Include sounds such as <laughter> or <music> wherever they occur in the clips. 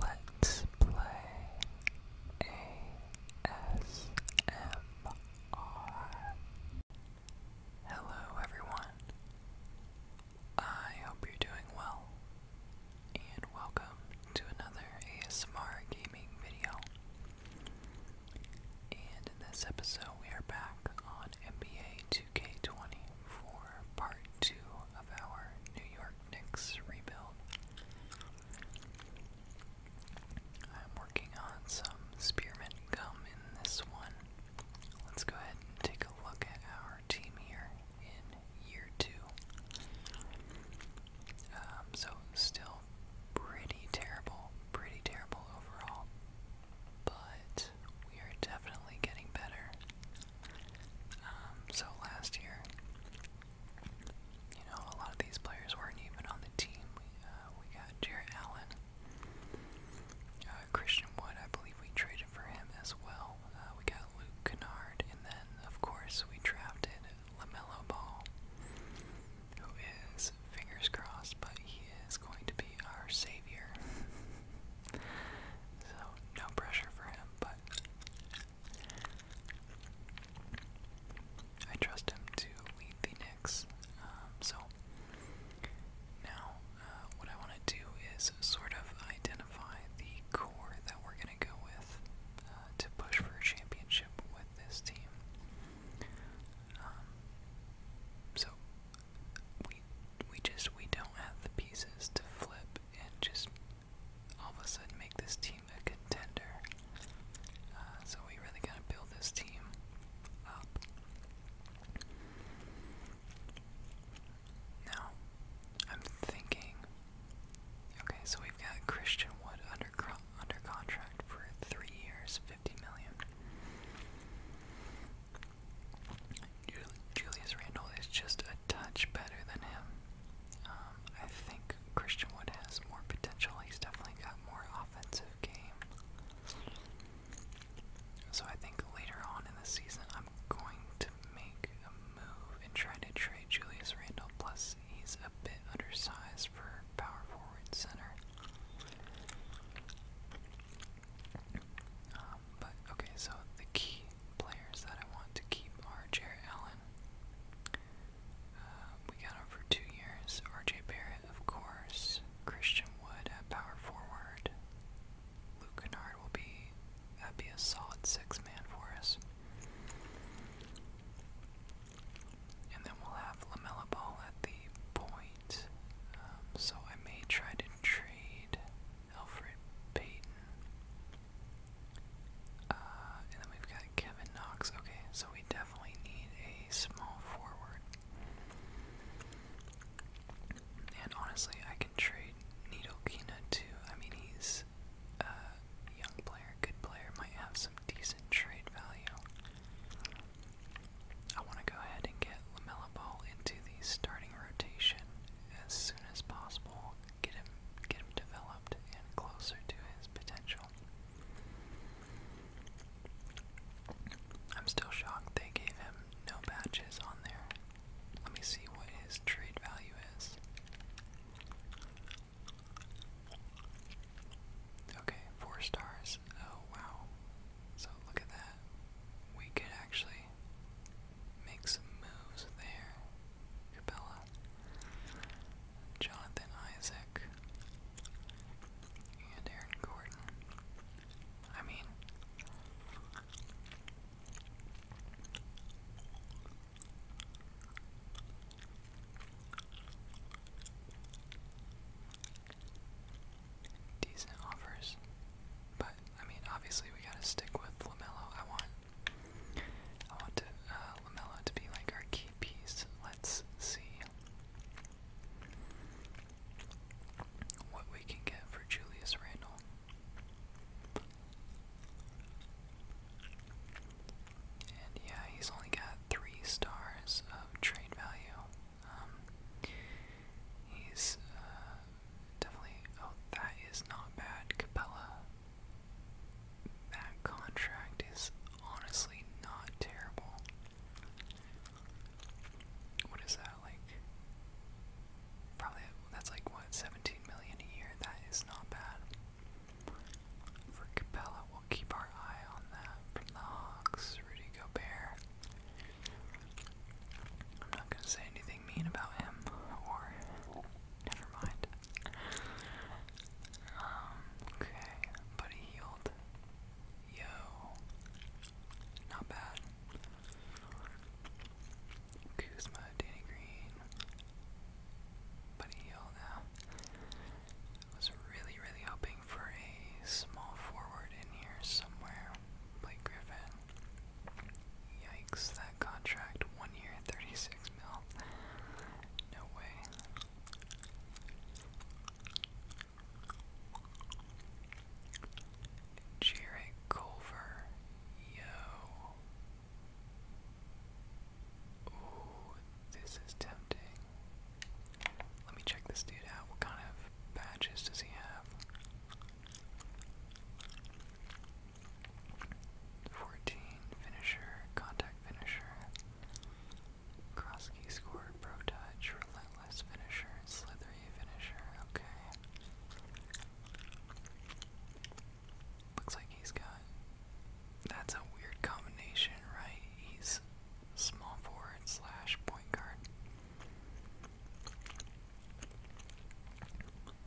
Let's play ASMR. Hello, everyone. I hope you're doing well, and welcome to another ASMR gaming video. And in this episode, we are back on NBA 2 k 24 part 2 of our New York Knicks rebuild. I'm working on some spearmint gum in this one. Let's go ahead and take a look at our team here in year two. Um, so, still pretty terrible, pretty terrible overall, but we are definitely getting better. Um, so last year, you know, a lot of these players weren't even on the team. We, uh, we got Jarrett Allen, uh, Christian Wood, I believe we traded for him as well. Uh, we got Luke Kennard, and then, of course, we drafted LaMelo Ball, who is, fingers crossed, but he is going to be our savior. <laughs> so, no pressure for him, but I trust him to lead the Knicks. Um, so now, uh, what I want to do is sort of identify the core that we're going to go with uh, to push for a championship with this team. Um, so we we just we don't have the pieces to flip and just all of a sudden make this team a contender. Uh, so we really gotta build this team Now, I'm thinking. Okay, so we've got Christian Wood under under contract for three years, fifty million. Julius Randle is just a touch better than him. Um, I think Christian Wood has more potential. He's definitely got more offensive game. So I think later on in the season, I'm going to make a move and try to trade Julius Randle. Plus, he's a bit undersized for power forward center. Um, but okay, so the key players that I want to keep are Jarrett Allen. Uh, we got him for two years. RJ Barrett, of course. Christian Wood at power forward. Luke Kennard will be that be a solid six man for us. And then we'll have Lamella Ball at the point. Um, so I may try to trade Alfred Payton. Uh, and then we've got Kevin Knox. Okay, so we definitely need a small forward. And honestly, I can trade Nidokina too. I mean, he's a young player, good player, might have some decent trade value. I want to go ahead and get Lamella Ball into the starting rotation as soon as possible, get him get him developed and closer to his potential. I'm still shocked they gave him no patches on there. Let me see what his trade value is. Okay, four stars. Oh wow. So look at that we could actually make some moves there. Capella, Jonathan Isaac, and Aaron Gordon. I mean, decent offers, but I mean, obviously we gotta stick with Lamello. I want, I want to, uh, to be like our key piece. Let's see what we can get for Julius Randle. And yeah, he's only got three stars of trade value. Um, He's uh, definitely. Oh, that is not bad. Capella. That contract is honestly not terrible. What is that like? Probably that's like what 17 million a year. That is not bad. For Capella, we'll keep our eye on that from the Hawks. Rudy Gobert. I'm not gonna say anything mean about him, or never mind. Um, okay, but healed. Yo, not bad. Kuzma, Danny Green, but healed now. was really, really hoping for a small forward in here somewhere. Blake Griffin. Yikes, that contract, one year, 36 mil. No way. Jared Culver, yo. Ooh, this is tempting. Let me check this dude out. What kind of badges does he have? Fourteen finisher, contact finisher. Krosky scored pro touch, relentless finisher, slithery finisher. Okay. Looks like he's got. That's a weird combination, right? He's small forward slash point guard.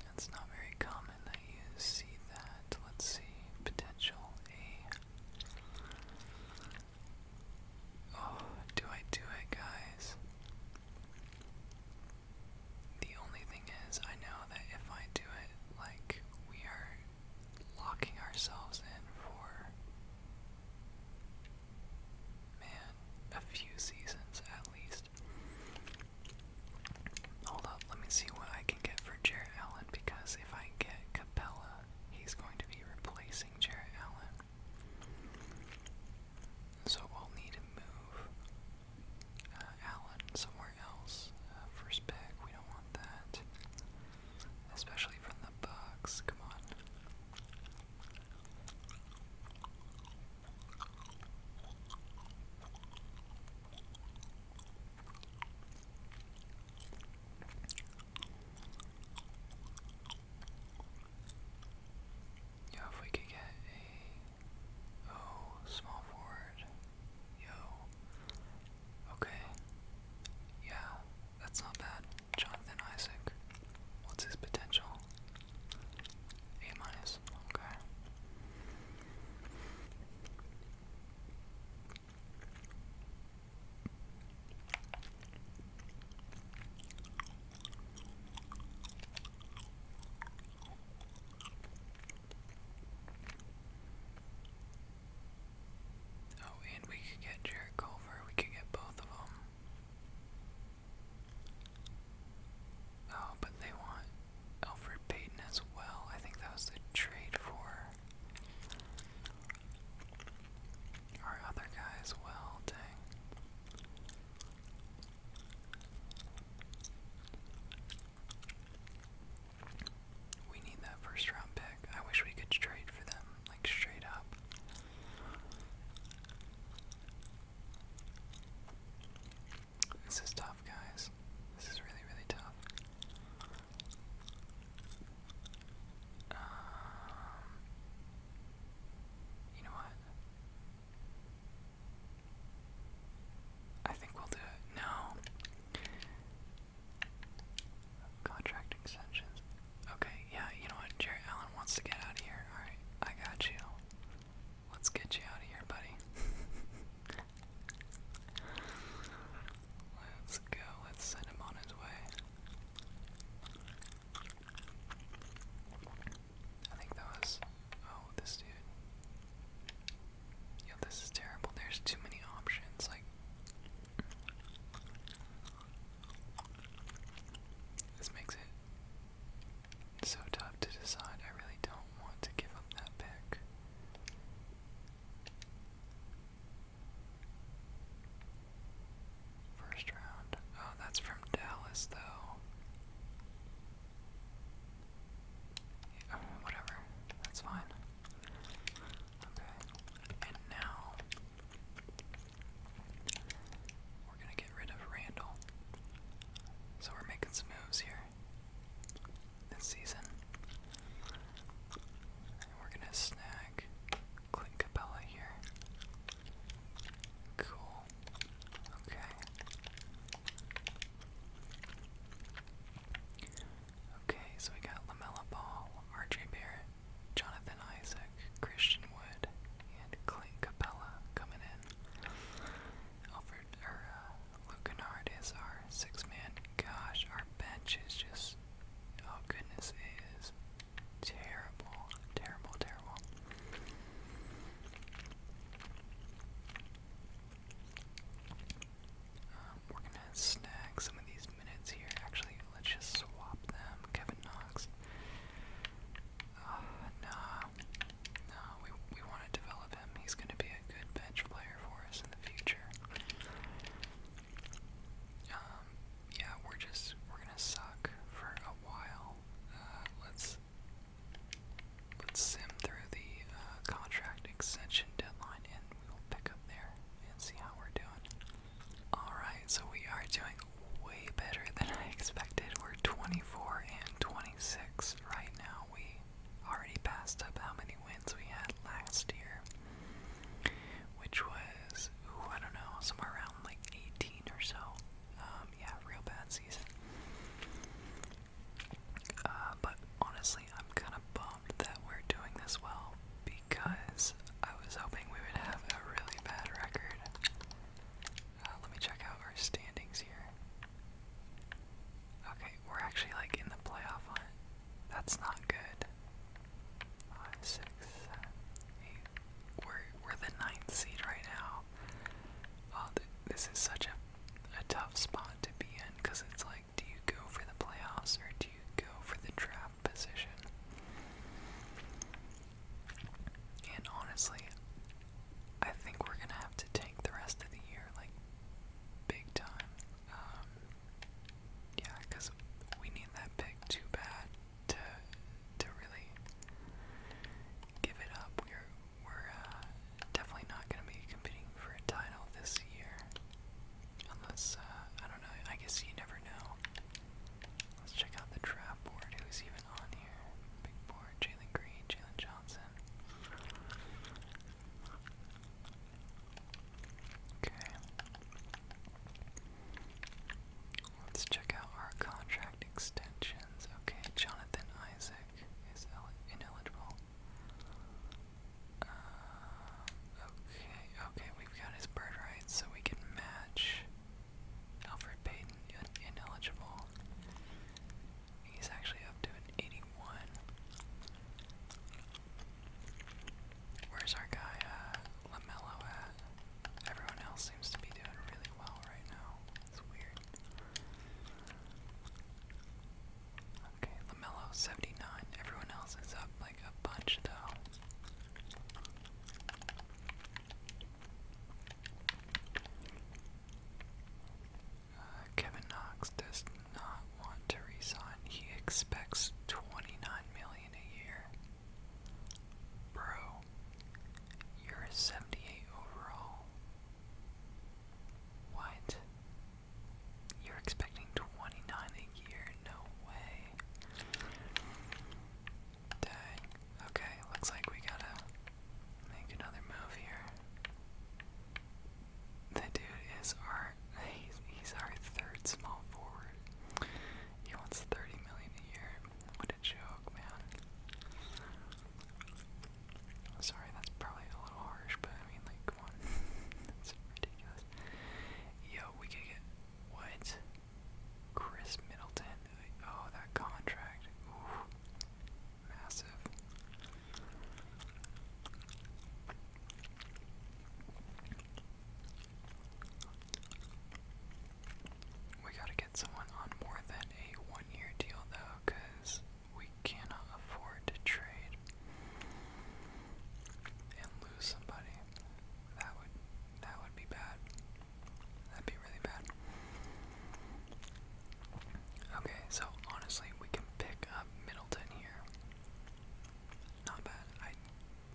That's not very common that you see that. Let's see. Potential A. Oh, do I do it, guys? The only thing is, I know that if I do it, like, we are locking ourselves in for, man, a few seasons at least. Hold up, let me see what I can get for Jarrett Allen because if I get Capella, he's going to be replacing Jarrett Allen. So we'll need to move uh, Allen somewhere else. Uh, first pick, we don't want that. Especially from the Bucks, come on. Yo, if we could get a oh small forward, yo. Okay, yeah, that's not bad. Jonathan Isaac, what's his potential? A minus, okay. Oh, and we could get Jared Culver, we could get both of them. Oh, but they want Alfred Payton as well. I think that was the trade for our other guy well. Dang. We need that first round pick. I wish we could trade for them, like straight up. This is tough, guys. This is really, really tough. Um, you know what? I think we'll do it. No. Contract extensions. Okay, yeah, you know what? Jared Allen wants to get out of here. Alright, I got you. Let's get you out of here, buddy. Let's go. Let's send him on his way. I think that was. Oh, this dude. Yo, this is terrible. There's too many options. Like. This makes it it's so tough to decide. I really don't want to give up that pick. First round. Oh, that's from Dallas, though. Yeah, oh, whatever. That's fine. Okay. And now we're gonna get rid of Randall. So we're making some moves here this season. we're gonna snag Clint Capella here. Cool. Okay. Okay, so we got Lamella Ball, RJ Barrett, Jonathan Isaac. Christian Wood and Clint Capella coming in. Alfred or uh, Lucanard is our six-man. Gosh, our bench is just oh goodness, it is terrible, terrible, terrible. Um, we're gonna snag some of these minutes here. Actually, let's just swap them. Kevin Knox uh, oh, nah, we, we want to develop him. He's going to be a good bench player for us in the future. Um, yeah, we're just, we're going to suck for a while. Uh, let's, let's sim through the uh, contract extension deadline and we'll pick up there and see how we're doing. Alright, so we are doing way better than I expected. We're 24 and 26 right now. We already passed up how many wins we had last year, which was, ooh, I don't know, somewhere around like 18 or so. Um, yeah, real bad season. Uh, but honestly, I'm kind of bummed that we're doing this well because I was hoping we would have a really bad record. Uh, let me check out our standings here. Okay, we're actually like in the playoff hunt. That's not good. Five, six, seven, eight. We're we're the ninth seed right now. Oh, this is such a a tough spot to be in because it's like, do you go for the playoffs or do you go for the draft position? And honestly, I think we're gonna have to take the rest of the year, like big time. Um, yeah, because we need that pick too bad to to really give it up. We're we're uh, definitely not gonna be competing for a title this year, unless uh, I don't know. I guess you never know. Let's check out the trap board. Who's even on here? Big board. Jalen Green, Jalen Johnson. Okay. Let's check out our contract extensions. Okay, Jonathan Isaac is ineligible. Uh, okay, okay, we've got his bird rights, so we can match Alfred Payton, ineligible. He's actually up to an 81. Where's our guy, uh, at? Everyone else seems to be doing really well right now. It's weird. Okay, LaMelo 79. Everyone else is up like a bunch though. Uh, Kevin Knox does not want to resign. He expects 29 million a year. Bro, you're a 78 overall. What? You're expecting 29 a year? No way. Dang. Okay, looks like we gotta make another move here. The dude is our he's our third small forward. He wants thirty million a year. What a joke, man. Sorry, that's probably a little harsh, but I mean like come on. <laughs> that's ridiculous. Yo, we could get what? Chris Middleton. Oh, that contract. Ooh, massive. We gotta get someone on more than a one year deal, though, we cannot afford to trade and lose somebody. That would that would be bad. That'd be really bad. Okay, so honestly, we can pick Middleton here. Not bad. I,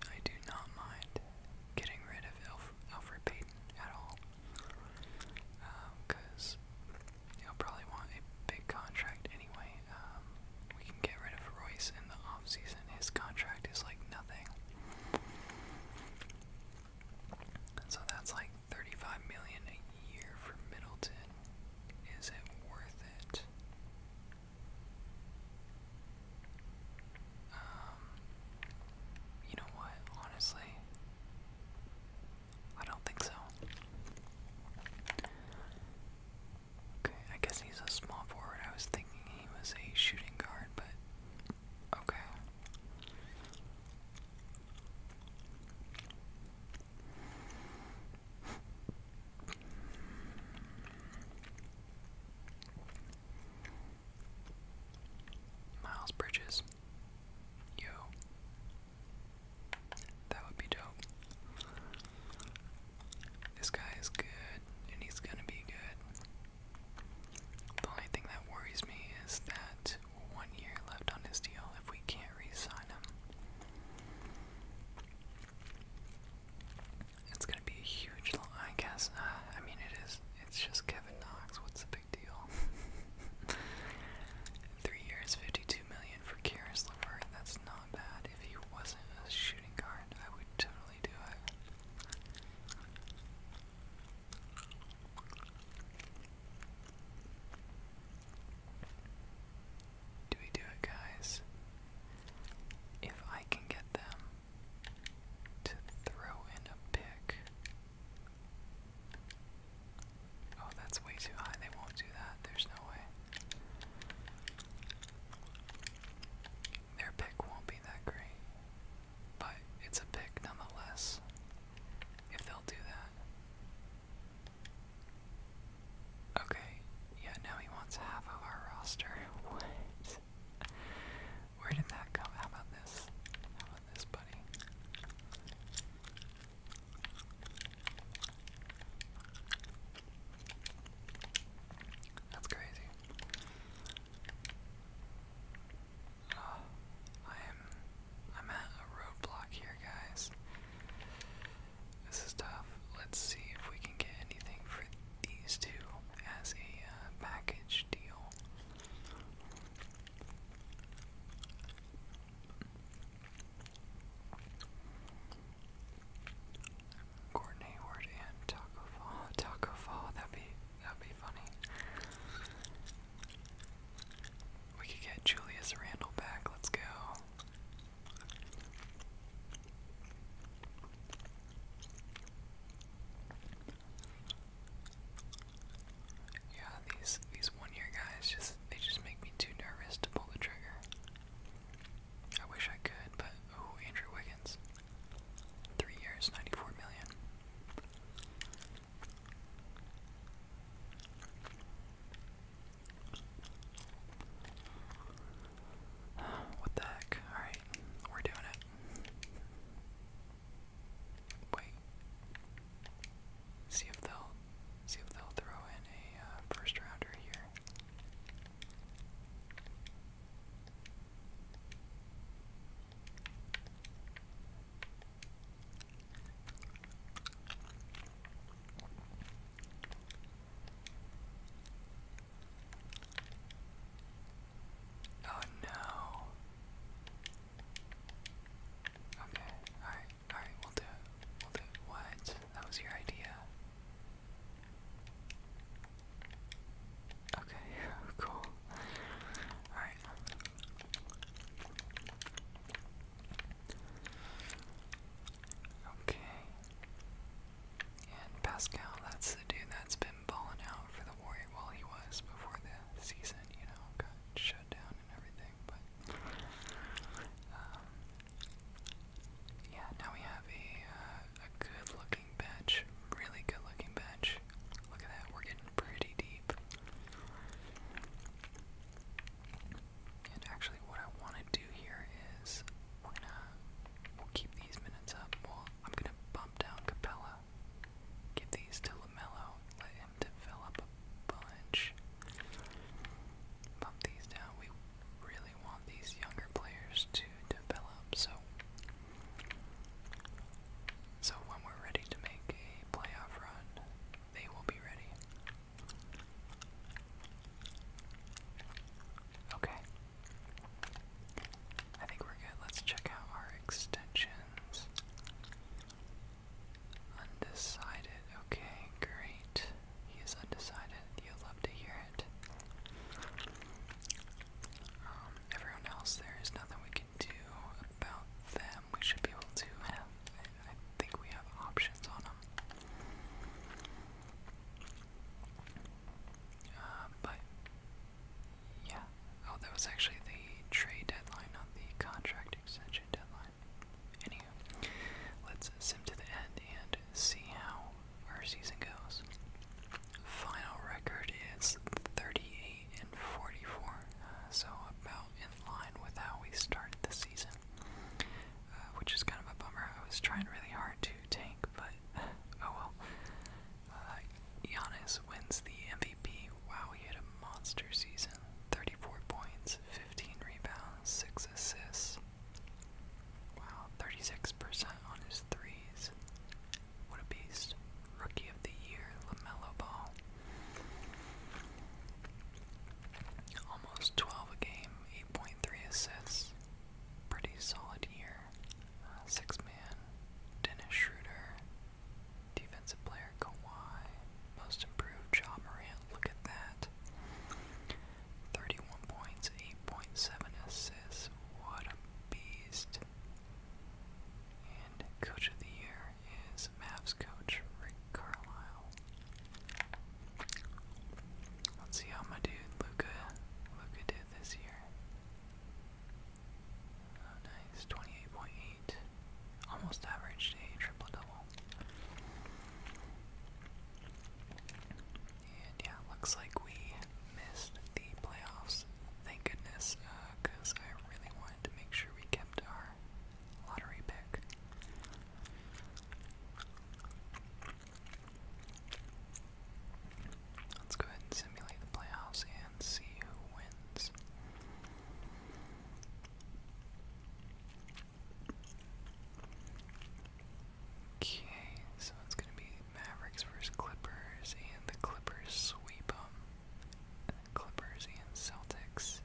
I do not mind getting rid of Alf Alfred at all. Because um, he'll probably want a big contract anyway. Um, we can get rid of Royce in the offseason. His contract is like nothing. So that's like 35 million a year for Middleton. Is it worth it? Um, you know what? Honestly, I don't think so. Okay, I guess he's a small forward. I was thinking he was a shooting guard, but Okay. Miles Bridges. Yo. That would be dope. This guy is good, and he's gonna be good. The only thing that worries me is that one year left on his deal if we can't re sign him. It's gonna be a huge long I guess uh, I mean it is it's just Kevin Knox, what's the big deal? <laughs> Three years fifty-two million for Karis Levert, that's not bad. If he wasn't a shooting guard, I would totally probably do it. Do we do it, guys? If I can get them to throw in a pick. Oh, that's way too high. They won't do that. There's no way. Their pick won't be that great. But it's a pick nonetheless, if they'll do that. Okay, yeah, now he wants half of our roster. <laughs> What? Where did that come? How about this? How about this, buddy? That's crazy. Oh, I am I'm at a roadblock here, guys. This is tough. Let's see if we can get anything for these two as a uh, package deal. Gordon Hayward and Taco Fall. Taco Fall, that'd be that'd be funny. We could get Julius Randall back, let's go. Yeah, these these one year guys just they just make me too nervous to pull the trigger. I wish I could, but oh, Andrew Wiggins. Three years, ninety-four million. What the heck? Alright, we're doing it. Wait. See if they'll see if they'll throw in a uh, first rounder here. Oh no. Okay, alright, alright, we'll do We'll do What? That was your idea. Okay, <laughs> cool. Alright. Okay. And Pascal, that's the dude that's been balling out for the Warrior while he was before the season, you know, got shut down and everything, but um, yeah, now we have a uh, a good looking bench. Really good looking bench. Look at that, we're getting pretty deep. And actually, what I want to do here is we're gonna we'll keep these minutes up. Well, I'm gonna bump down Capella, give these to Lamelo, let him develop a bunch. Bump these down. We really want these younger players to develop, so so when we're ready to make a playoff run, they will be ready. Okay. I think we're good. Let's check out our extensions. Undecided. Okay, great. He is undecided. You'll love to hear um, everyone else, there is nothing we can do about them. We should be able to have. I, think we have options on them. Uh, but yeah. Oh, that was actually the trade deadline, not the contract extension deadline. Anywho, let's sim to the end and see how where season goes. Final record is 38 and 44, uh, so about in line with how we started the season, uh, which is kind of a bummer. I was trying really hard to tank, but oh well. Uh, Giannis wins the MVP. Wow, he had a monster season 34 points, 15 rebounds, 6 assists. Wow, 36% on his threes. What a beast. Rookie of the Year, LaMelo Ball. Almost 12 a game, 8.3 assists. Pretty solid year. Uh, six man, Dennis Schroeder, defensive player Kawhi, most improved Ja Morant. Look at that. 31 points, 8.7 assists. What a Beast. And Coach of the Year is Mavs coach Rick Carlisle. Let's see how my dude Luca Luca did this year. Oh, nice, twenty-eight point eight, almost averaged a triple double. And yeah, looks like we missed the playoffs. Thank goodness, because uh, I really wanted to make sure we kept our lottery pick. Let's go ahead and simulate the playoffs and see who wins. Okay, so it's going to be Mavericks versus Clippers, and the Clippers sweep them. Clippers and Celtics.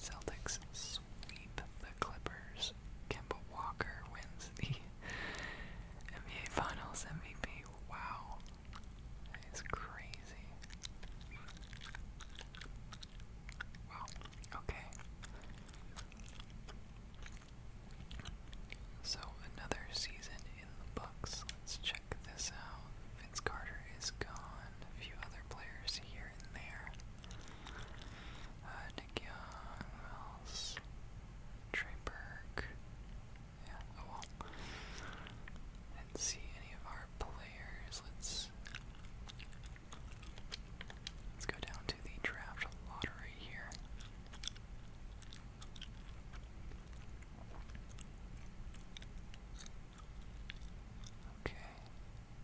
Celtics sweep the Clippers. Kemba Walker wins the <laughs> NBA Finals MVP. Wow. That is crazy. Wow. Okay. So another season in the books. Let's check this out. Vince Carter is gone. A few other players here and there. Uh, Nick Young, who else? Trey Burke. Yeah, oh well. I see any of our players. Let's let's go down to the draft lottery here. Okay,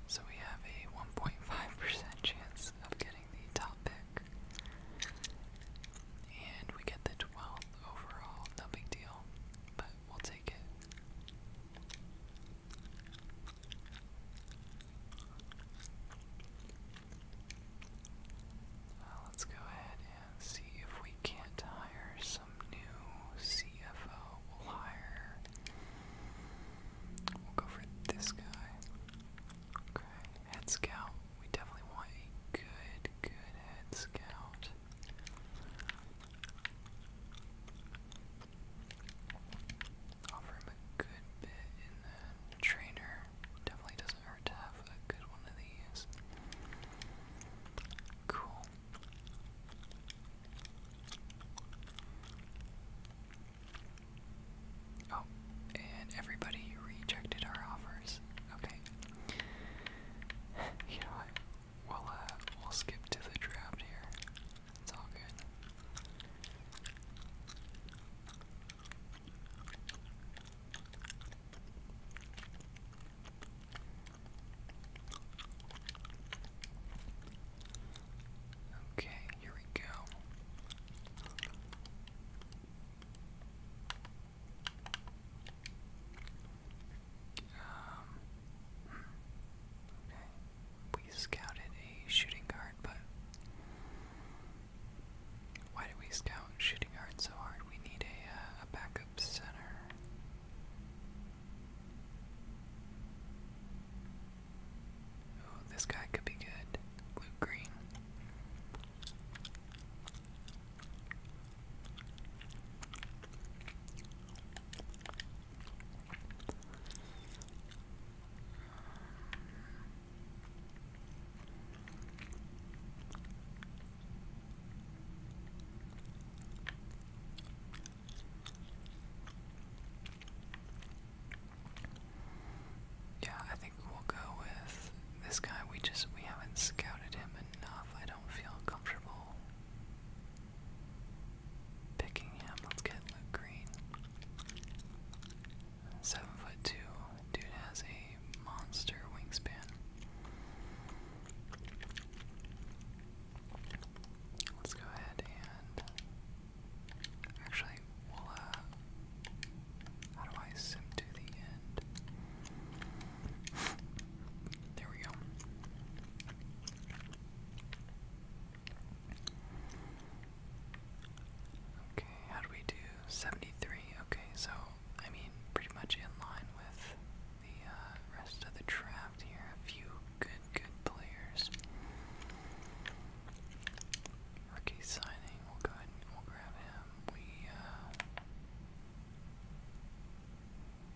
so we have a 1.5% chance of getting the top pick. And we get the 12th overall, no big deal, but we'll take it. Uh, let's go ahead and see if we can't hire some new CFO. We'll hire. We'll go for this guy. Okay, head scout. We definitely want a good, good head scout. Offer him a good bit in that trainer. Definitely doesn't hurt to have a good one of these. Cool. Oh, and everybody rejected our offers. Okay. <laughs> you We'll uh, we'll skip to the draft here. It's all good. Okay, here we go. Um, hmm, okay. We scouted a shooting guard, but why do we scout shooting guard so hard? We need a, uh, a backup center. Oh, this guy could be good. Blue green. Yeah, I think we'll go with this guy. We just we haven't scouted him enough. I don't feel comfortable picking him. Let's get Luke Green. Seven foot two. Dude has a monster wingspan. Let's go ahead and actually uh, how do I sim to the end? <laughs> there we go. Okay, how do we do 73? Okay, so I mean, pretty much in line with the uh, rest of the draft here. A few good, good players. Rookie signing. We'll go ahead and we'll grab him. We. Uh,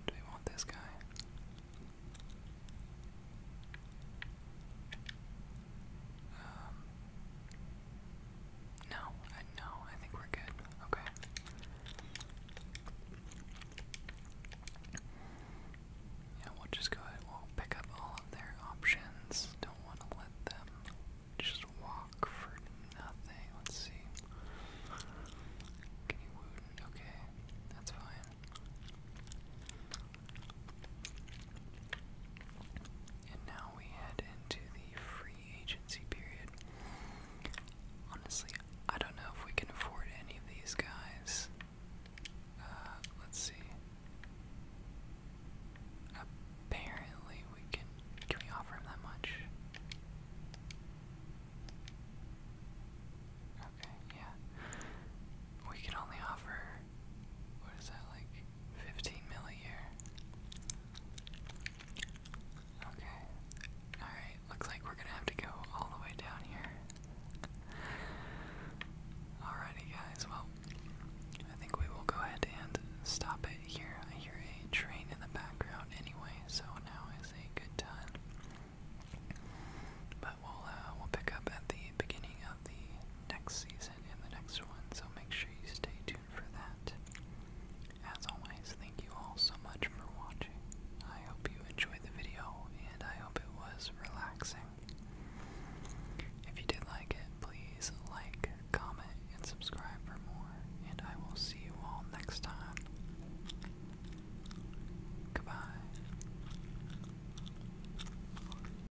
do we want this guy? Um, no, I no, I think we're good. Okay. Yeah, we'll just go ahead. We'll pick up all of their options. Don't want to let them just walk for nothing. Let's see. Can you wound? Okay, that's fine. And now we head into the free agency period. Honestly, I don't know if we can afford any of these guys. Uh, let's see. Apparently, we can. Can we offer him that much? Okay, yeah. We can only offer what is that like 15 mil a year? Okay. Alright, looks like we're gonna have to go all the way down here. Alrighty guys, well I think we will go ahead and stop it here. I hear a train in the background anyway, so now is a good time. But we'll uh, we'll pick up at the beginning of the next season season in the next one, so make sure you stay tuned for that. As always, thank you all so much for watching. I hope you enjoyed the video, and I hope it was relaxing. If you did like it, please like, comment, and subscribe for more, and I will see you all next time. Goodbye.